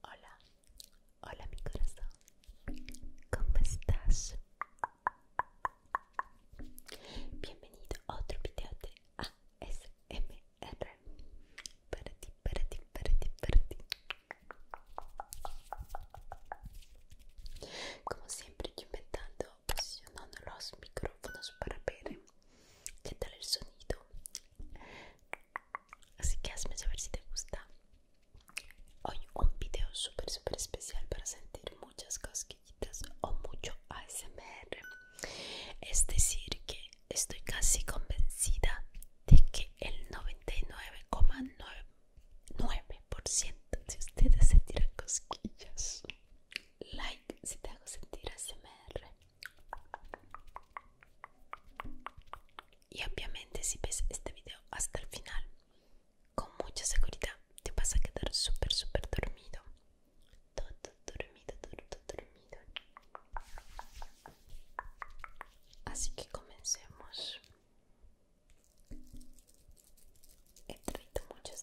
Hola, hola mi corazón, ¿cómo estás? Bienvenido a otro video de ASMR Para ti, para ti, para ti, para ti Como siempre yo inventando, posicionando los micrófonos para ver qué tal el sonido Así que hazme saber si te gusta. Hoy un video súper súper especial para sentir muchas cosquillitas o mucho ASMR. Es decir que estoy casi convencida de que el 99,9% de ustedes sentirán cosquillas. Like si te hago sentir ASMR. Y obviamente si ves este video hasta el final, con mucha seguridad te vas a quedar súper, super dormido. Todo dormido, todo dormido. Así que comencemos. He traído muchos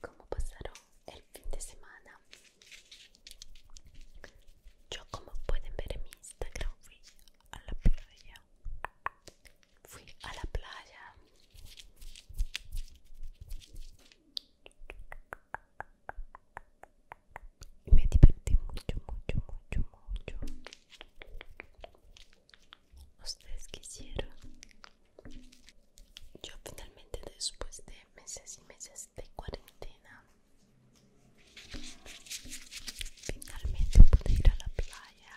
¿Cómo pasaron el fin de semana? Yo, como pueden ver en mi Instagram, fui a la playa. Fui a la playa. Y me divertí mucho, mucho, mucho, mucho ustedes quisieron yo finalmente después de meses y meses de cuarentena finalmente pude ir a la playa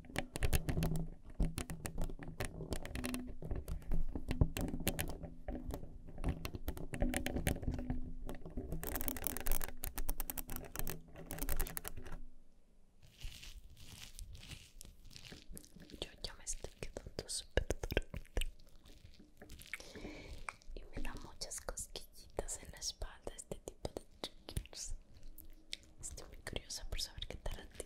Yo ya me estoy quedando súper dormida y me da muchas cosquillitas en la espalda este tipo de triggers. Estoy muy curiosa por saber qué tal a ti.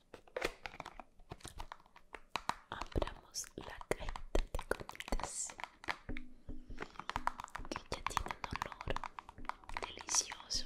Abramos la cajita de comidas que ya tiene un olor delicioso.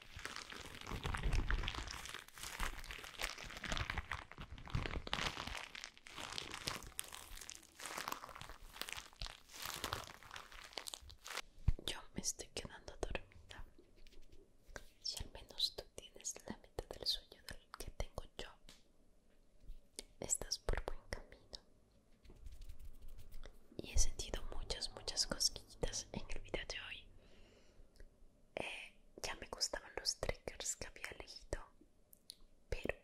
Yo me estoy quedando dormida. Si al menos tú tienes la mitad del sueño que tengo yo, estás por buen camino y he sentido muchas, muchas cosquillitas en el video de hoy. Eh, ya me gustaban los triggers que había elegido, pero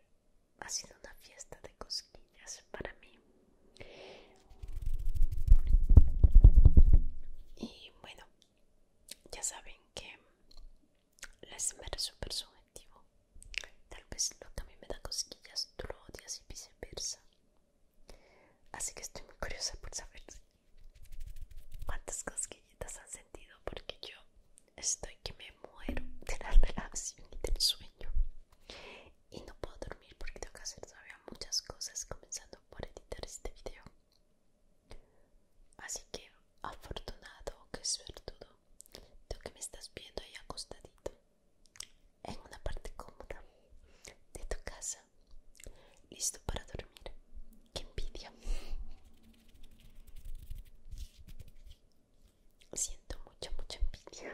ha sido una fiesta de cosquillas para mí. Y bueno, ya saben que la esmera es super subjetivo. Tal vez lo que a mí me da cosquillas tú lo odias y viceversa. Así que estoy muy curiosa por saber cuántas cosquillitas han sentido porque yo estoy que me muero de la relación y del sueño. Y no puedo dormir porque tengo que hacer todavía muchas cosas comenzando por editar este video. Así que afortunado que todo tú que me estás viendo ahí acostadito en una parte cómoda de tu casa, listo para dormir. Que envidia! Siento mucha, mucha envidia.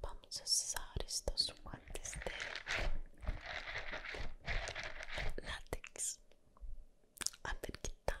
Vamos a usar estos guantes de látex. A ver qué tal.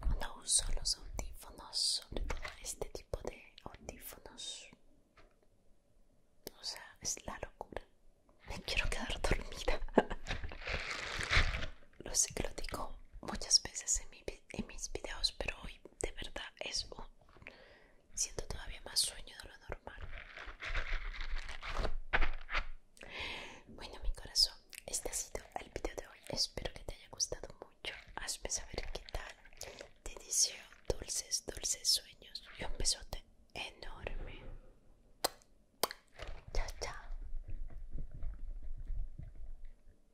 Cuando uso los audífonos, todo este tipo de audífonos, o sea, es la locura. Me quiero quedar dormida. Lo sé que lo digo muchas veces en, en mis videos, pero hoy de verdad es un... Siento todavía más sueño de lo normal. Bueno, mi corazón, este ha sido el video de hoy. Espero que te haya gustado mucho. Hazme saber qué tal. Te deseo dulces, dulces sueños y un besote enorme. Chao, chao.